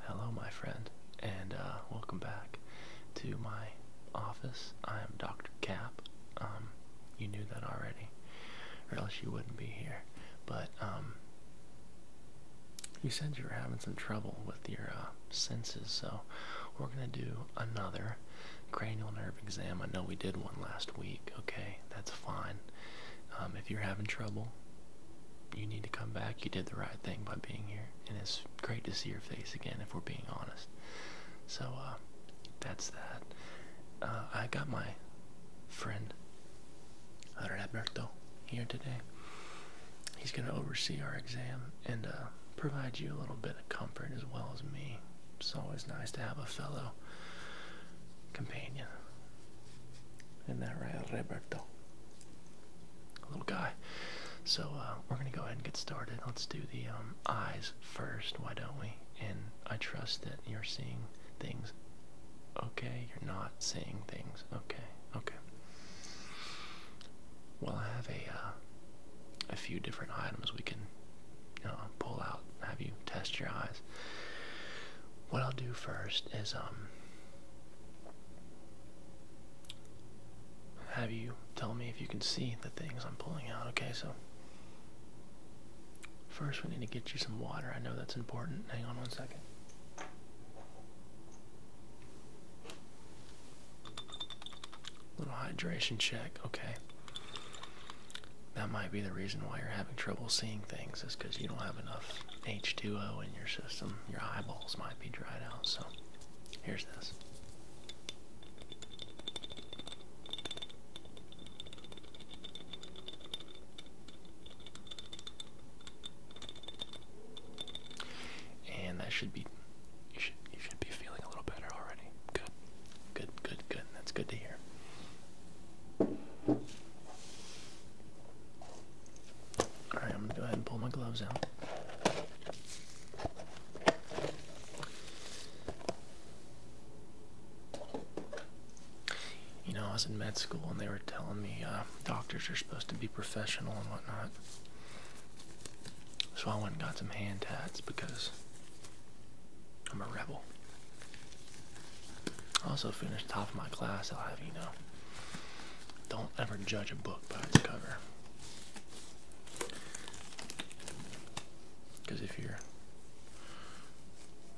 Hello, my friend, and uh, welcome back to my office. I am Dr. Cap. Um, you knew that already, or else you wouldn't be here. But um, you said you were having some trouble with your uh, senses, so we're gonna do another cranial nerve exam. I know we did one last week. Okay, that's fine. Um, if you're having trouble, you need to come back. You did the right thing by being here, and it's great to see your face again. If we're being honest, so uh, that's that. Uh, I got my friend Roberto here today. He's going to oversee our exam and uh, provide you a little bit of comfort as well as me. It's always nice to have a fellow companion. And that's that right, Roberto? little guy. So uh, we're gonna go ahead and get started. Let's do the um, eyes first. Why don't we? And I trust that you're seeing things. Okay, you're not seeing things. Okay, okay. Well, I have a uh, a few different items we can pull out. Have you test your eyes? what I'll do first is um have you tell me if you can see the things I'm pulling out. Okay, so first we need to get you some water. I know that's important. Hang on one second. Little hydration check. Okay. That might be the reason why you're having trouble seeing things is because you don't have enough H2O in your system your eyeballs might be dried out. So, here's this. And that should be you should you should be feeling a little better already. Good. Good, good, good. That's good to hear. Alright, I'm going to go ahead and pull my gloves out. You know, I was in med school and they were telling me uh, doctors are supposed to be professional and whatnot. So I went and got some hand tats because I'm a rebel. also finished top of my class, I'll have you know. Don't ever judge a book by its cover. Because if you're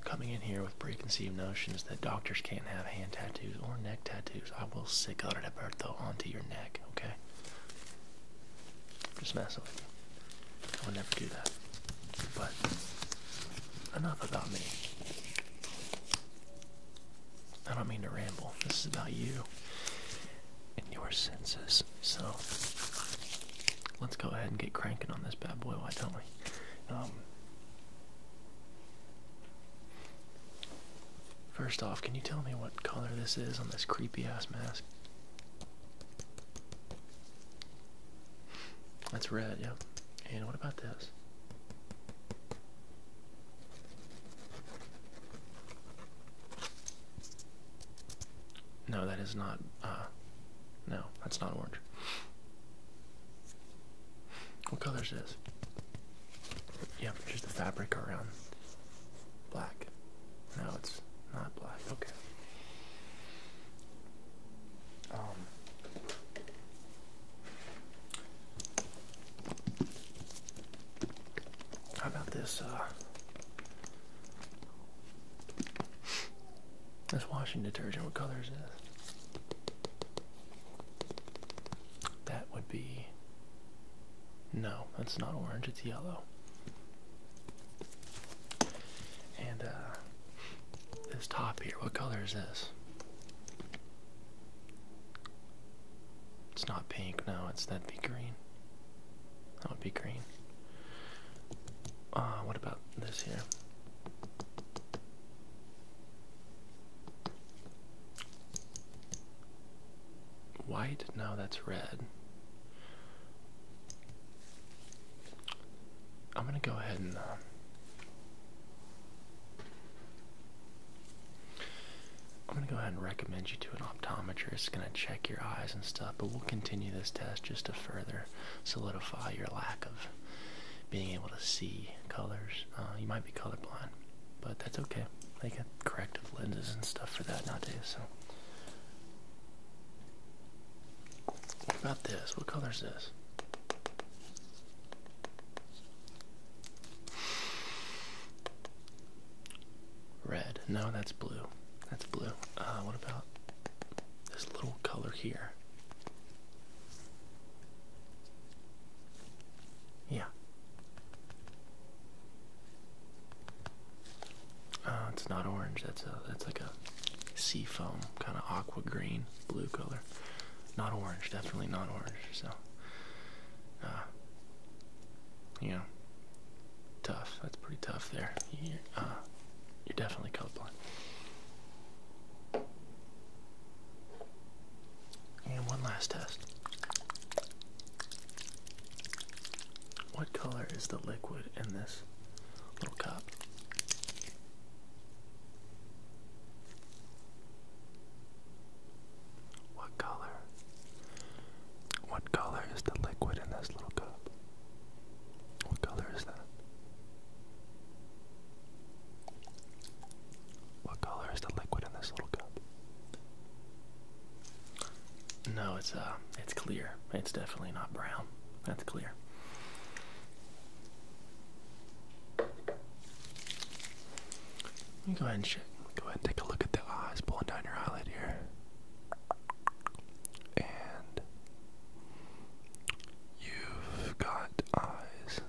coming in here with preconceived notions that doctors can't have hand tattoos or neck tattoos, I will sick out that Bertho onto your neck, okay? Just mess with me. I will never do that. But enough about me. I don't mean to ramble. This is about you and your senses. So let's go ahead and get cranking on this bad boy. Why don't we? Um, first off, can you tell me what color this is on this creepy ass mask? That's red, yep. And what about this? No, that is not. Uh, no, that's not orange. What color is this? Yeah, just the fabric around. Black. No, it's not black. Okay. Um, how about this? Uh, this washing detergent. What color is this? That would be. No, that's not orange. It's yellow. And uh, this top here. What color is this? It's not pink No, it's that'd be green. That would be green. Ah, what about this here? White? No, that's red. I'm gonna go ahead and uh, I'm going to go ahead and recommend you to an optometrist, going to check your eyes and stuff, but we'll continue this test just to further solidify your lack of being able to see colors. Uh, you might be colorblind, but that's okay. They got corrective lenses and stuff for that nowadays, so. What about this? What color is this? Red. No, that's blue. That's blue. Uh, what about this little color here? Yeah. Uh, it's not orange. That's a that's like a sea foam kind of aqua green blue color. Not orange, definitely not orange. So, uh, you know, tough. That's pretty tough there. You're, uh, you're definitely colorblind. And one last test. What color is the liquid in this little cup? What color? What color is the liquid in this little cup? What color is that? What color is the liquid in this little cup? No, it's uh it's clear. It's definitely not brown. That's clear go ahead and Go ahead and take a look at the eyes pulling down your eyelid here. And you've got eyes.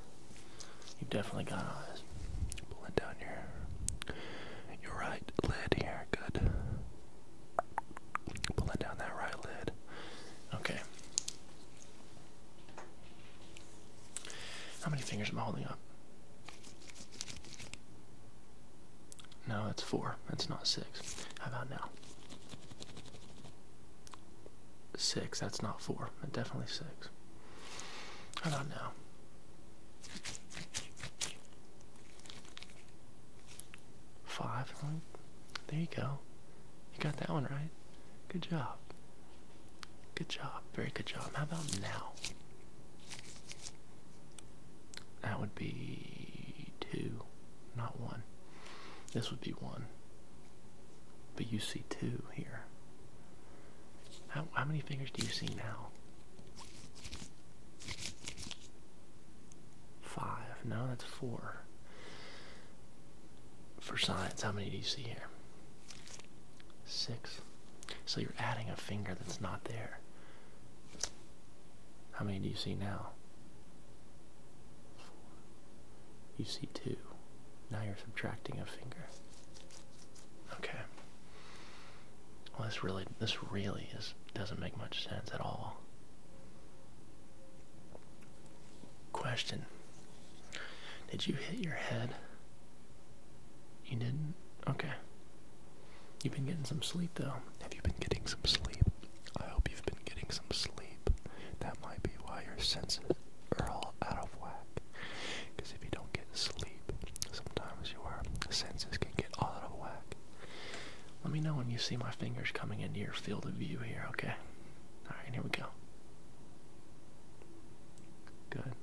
you definitely got eyes. Pulling down your your right lid here. Good. Pulling down that right lid. Okay. How many fingers am I holding up? No, that's four. That's not six. How about now? Six. That's not four. definitely six. How about now? Five. There you go. You got that one right. Good job. Good job. Very good job. How about now? That would be two, not one. This would be one. But you see two here. How, how many fingers do you see now? Five. No, that's four for science, how many do you see here? Six. So you're adding a finger that's not there. How many do you see now? You see two. Now you're subtracting a finger. Okay. Well, this really, this really is doesn't make much sense at all. Question Did you hit your head? You didn't? Okay. You've been getting some sleep though. Have you been getting some sleep? I hope you've been getting some sleep. That might be why your senses are all out of whack. Because if you don't get sleep, sometimes your senses can get all out of whack. Let me know when you see my fingers coming into your field of view here, okay? Alright, here we go. Good.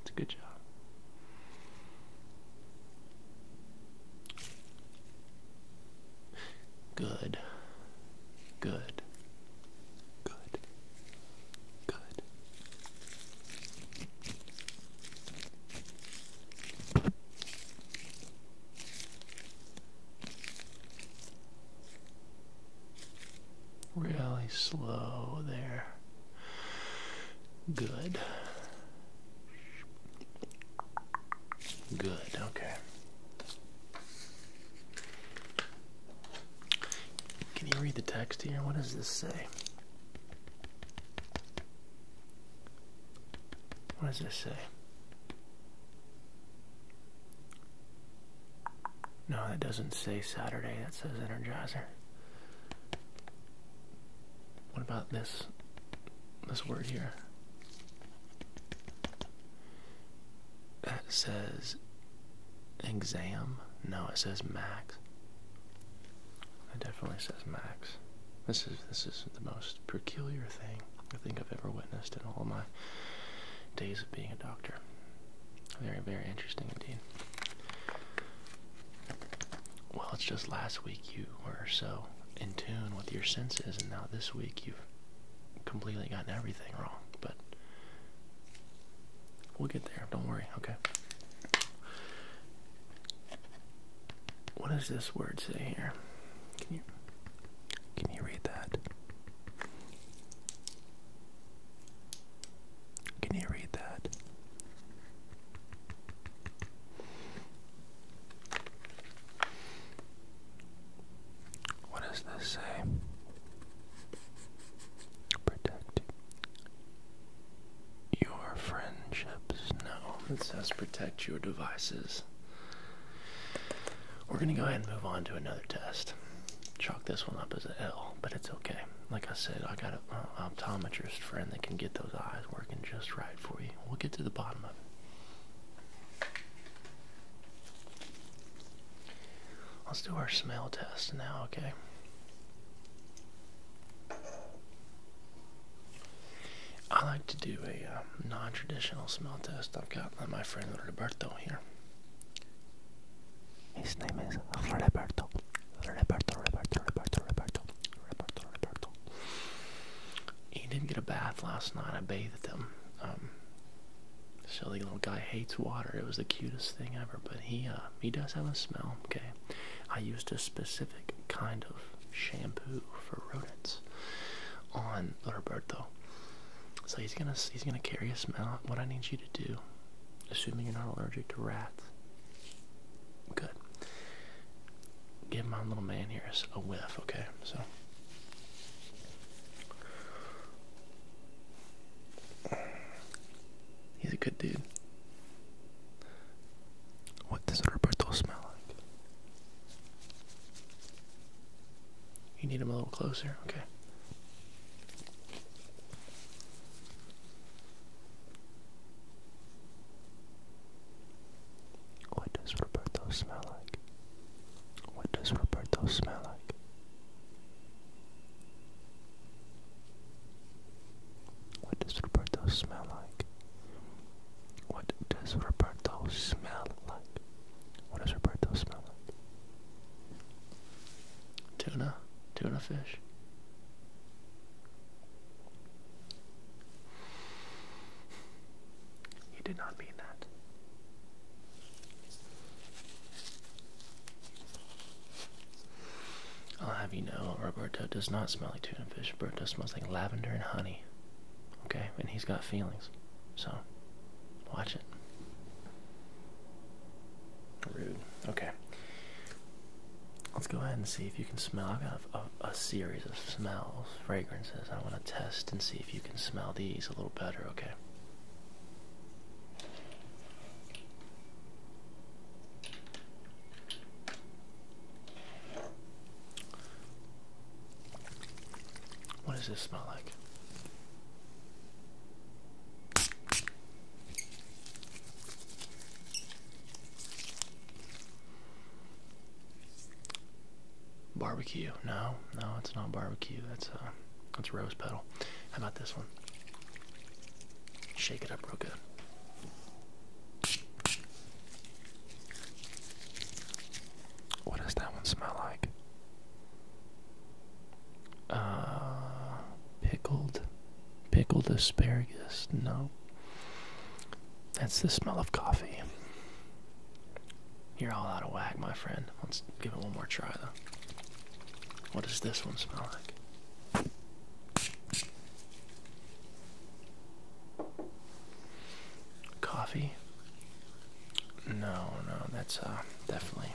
It's a good job. Good. Good. Good. Good. Really slow there. Good. Good, okay. Can you read the text here? What does this say? What does this say? No, that doesn't say Saturday, that says Energizer. What about this this word here? That says exam. No, it says max. It definitely says max. This is this is the most peculiar thing I think I've ever witnessed in all my days of being a doctor. Very, very interesting indeed. Well, it's just last week you were so in tune with your senses, and now this week you've completely gotten everything wrong, but we'll get there. Don't worry, okay? What does this word say here? Can you can you read that? Can you read that? What does this say? Protect your friendships. No, it says protect your devices. We're going to go ahead and move on to another test. Chalk this one up as an L, but it's okay. Like I said, I got an optometrist friend that can get those eyes working just right for you. We'll get to the bottom of it. Let's do our smell test now, okay? I like to do a uh, non-traditional smell test. I've got my friend Roberto here. His name is Roberto. Roberto, Roberto, Roberto, Roberto, Roberto, Roberto. He didn't get a bath last night. I bathed him. Um, silly little guy hates water. It was the cutest thing ever. But he uh, he does have a smell. Okay, I used a specific kind of shampoo for rodents on Roberto. So he's gonna he's gonna carry a smell. What I need you to do, assuming you're not allergic to rats, good. Give my little man here a whiff, okay? So. He's a good dude. What does Roberto smell like? You need him a little closer, okay. What does Roberto smell like? What does Roberto smell like? What does Roberto smell like? What does Roberto smell like? What does Roberto smell like? Tuna, tuna fish. He did not mean that. I'll have you know, Roberto does not smell like tuna fish. Roberto smells like lavender and honey. Okay? And he's got feelings. So, watch it. Rude. Okay. Let's go ahead and see if you can smell. I've got a, a series of smells, fragrances. I want to test and see if you can smell these a little better, okay? What does this smell like? Barbecue. No, no, it's not barbecue. That's a, uh, that's rose petal. How about this one? Shake it up real good. What does that one smell like? Uh, pickled, pickled asparagus. No, that's the smell of coffee. You're all out of whack, my friend. Let's give it one more try, though. What does this one smell like? Coffee. No, no, that's uh, definitely,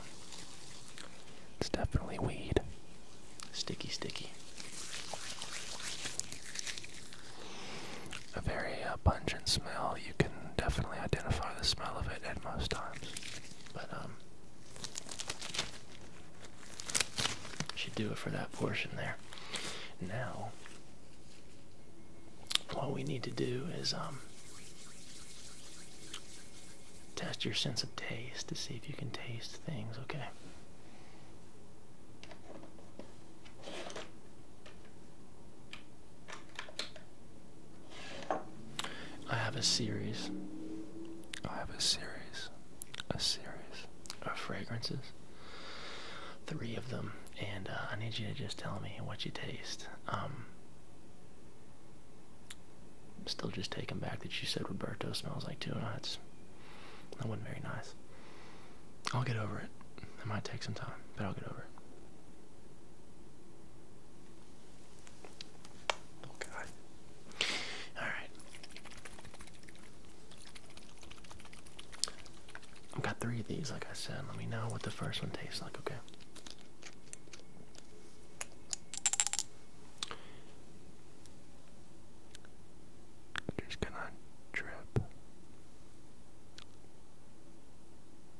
it's definitely weed. Sticky, sticky. A very uh, pungent smell. You can definitely identify the smell of it at most times, but um, should do it for that portion there. Now, what we need to do is um, test your sense of taste to see if you can taste things, okay? I have a series. I have a series. A series of fragrances. Three of them, and uh, I need you to just tell me what you taste. Um, Still just taken back that you said Roberto smells like tuna. It's, that wasn't very nice. I'll get over it. It might take some time, but I'll get over it. Oh God. Alright. I've got three of these, like I said. Let me know what the first one tastes like, okay? Just gonna drip,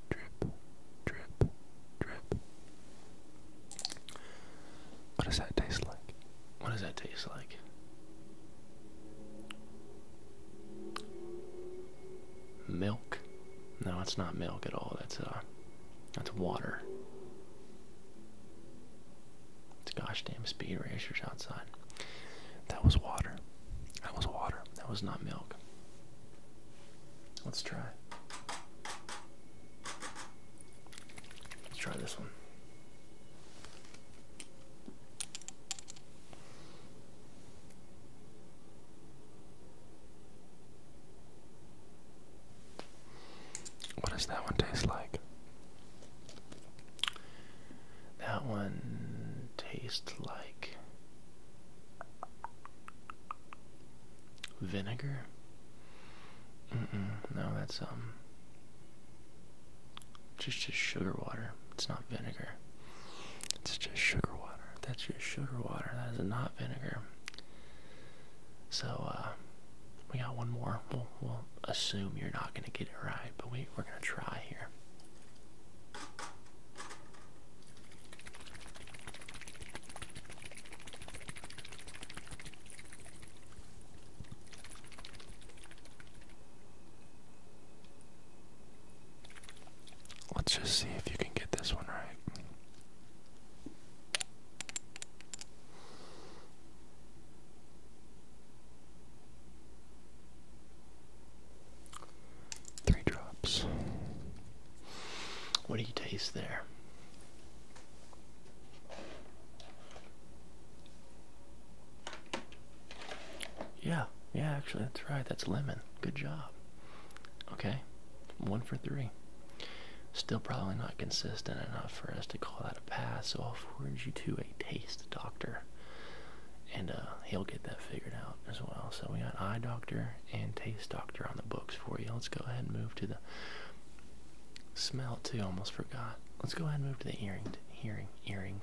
drip, drip, drip. What does that taste like? What does that taste like? Milk? No, it's not milk at all. That's uh, that's water. It's gosh damn speed racers outside. That was water. That was water. That was not milk. Let's try. Let's try this one. What does that one taste like? That one tastes like vinegar. no, that's um just just sugar water. It's not vinegar. It's just sugar water. That's just sugar water. That is not vinegar. So, uh, we got one more. We'll, assume you're not going to get it right, but we're going to try here. Let's just see if you can get this one right. Three drops. What do you taste there? Yeah, yeah, actually, that's right. That's lemon. Good job. Okay, one for three. Still probably not consistent enough for us to call that a pass, so I'll forward you to a taste doctor. And uh, he'll get that figured out as well. So we got eye doctor and taste doctor on the books for you. Let's go ahead and move to the smell too. Almost forgot. Let's go ahead and move to the earring, hearing, earring,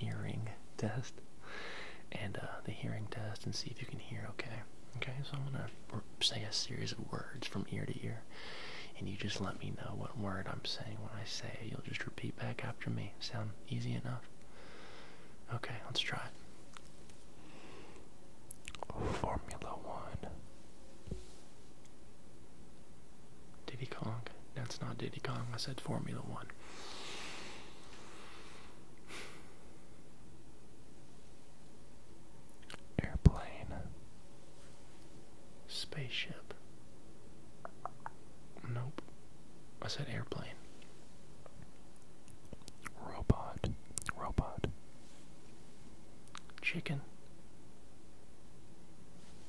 Earing test and uh, the hearing test and see if you can hear okay. Okay, so I'm gonna say a series of words from ear to ear, and you just let me know what word I'm saying when I say You'll just repeat back after me. Sound easy enough? Okay, let's try it. Formula One. Diddy Kong. That's not Diddy Kong. I said Formula One. Airplane. Spaceship. Nope. I said airplane. Robot. Robot. Chicken.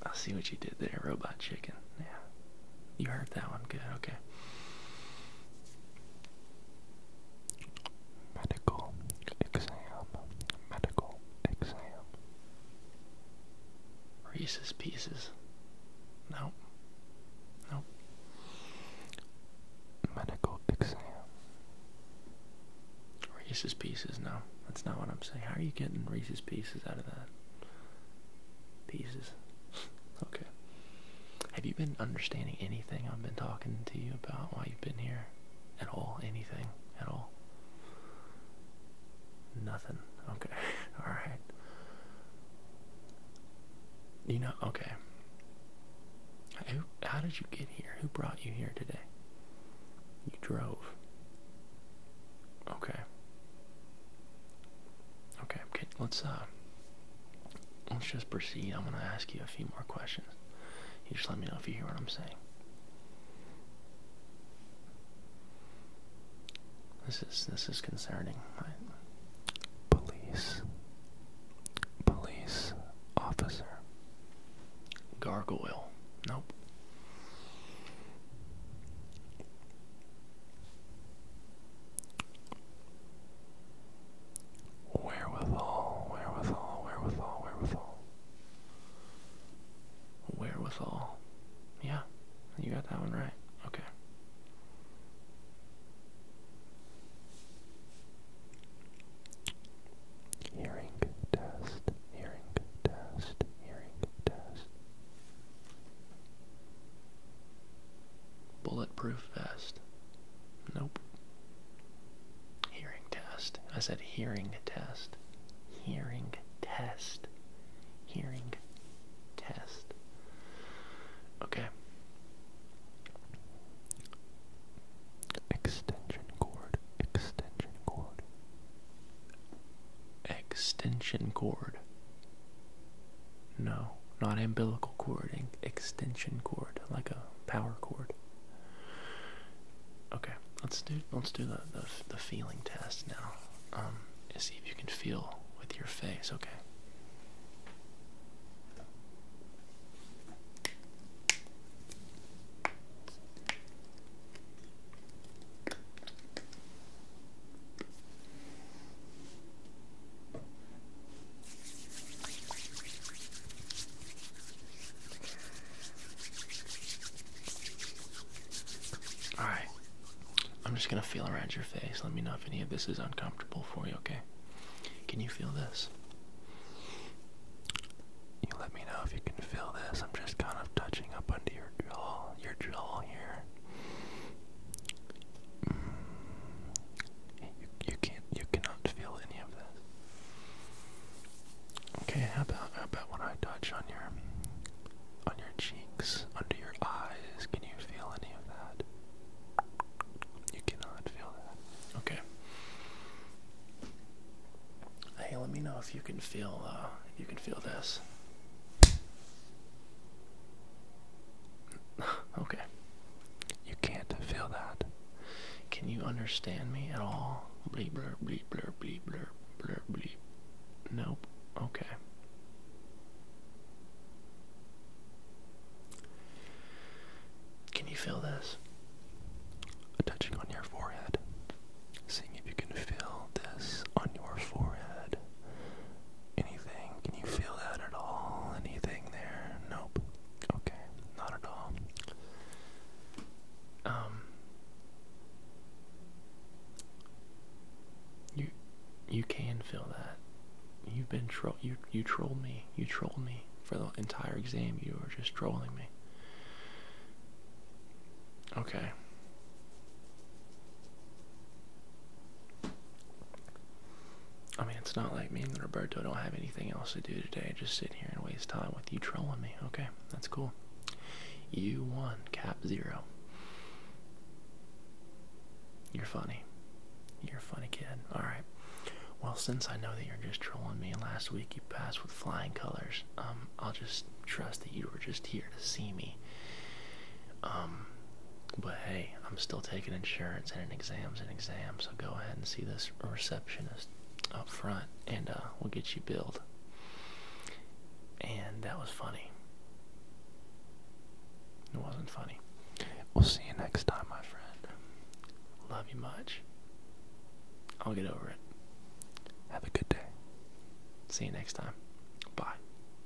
I see what you did there, robot chicken. Yeah. You heard that one. Good. Okay. Medical exam. Medical exam. Reese's Pieces. Nope. Nope. Medical exam. Reese's Pieces. No, that's not what I'm saying. How are you getting Reese's Pieces out of that? pieces. okay. Have you been understanding anything I've been talking to you about while you've been here? At all? Anything? At all? Nothing. Okay. Alright. You know, okay. Who, how did you get here? Who brought you here today? You drove. Okay. Okay, okay. Let's uh let's just proceed. I'm going to ask you a few more questions. You just let me know if you hear what I'm saying. This is this is concerning. police, police officer, gargoyle. Nope. Wherewithal, wherewithal, wherewithal, wherewithal. Wherewithal. Yeah, you got that one right. Okay. Hearing test, hearing test, hearing test. Bulletproof vest. Nope. Hearing test. I said hearing test. Hearing test. Hearing test. Okay. Extension cord. Extension cord. Extension cord. No, not umbilical cord, extension cord, like a power cord. Okay, let's do let's do the the, feeling test now. Um, see if you can feel with your face. Okay. All right. I'm just going to feel around your face. Let me know if any of this is uncomfortable for you, okay? Can you feel this? You let me know if you can feel this. I'm just kind of touching up under your jaw, your jaw here. You, you can't. You cannot feel any of this. Okay. How about how about when I touch on your on your cheeks, under your eyes? Can you feel any of that? You cannot feel that. Okay. Hey, let me know if you can feel uh, you can feel this. okay. You can't feel that. Can you understand me at all? Bleep, blur, bleep, blur, bleep, blur, blur, bleep. Nope. Okay. Can you feel this? Touching on your forehead. Seeing if you can feel this on your forehead. Anything? Can you feel that at all? Anything there? Nope. Okay, not at all. Um You you can feel that. You've been troll you you trolled me. You trolled me for the entire exam. You were just trolling me. Okay. I mean, it's not like me and Roberto don't have anything else to do today. Just sit here and waste time with you trolling me. Okay, that's cool. You won, cap zero. You're funny. You're a funny kid. Alright. Well, since I know that you're just trolling me and last week you passed with flying colors, um, I'll just trust that you were just here to see me. Um, but hey, I'm still taking insurance and an exam's an exam, so go ahead and see this receptionist up front and uh, we'll get you billed. And that was funny. It wasn't funny. We'll see you next time, my friend. Love you much. I'll get over it. Have a good day. See you next time. Bye.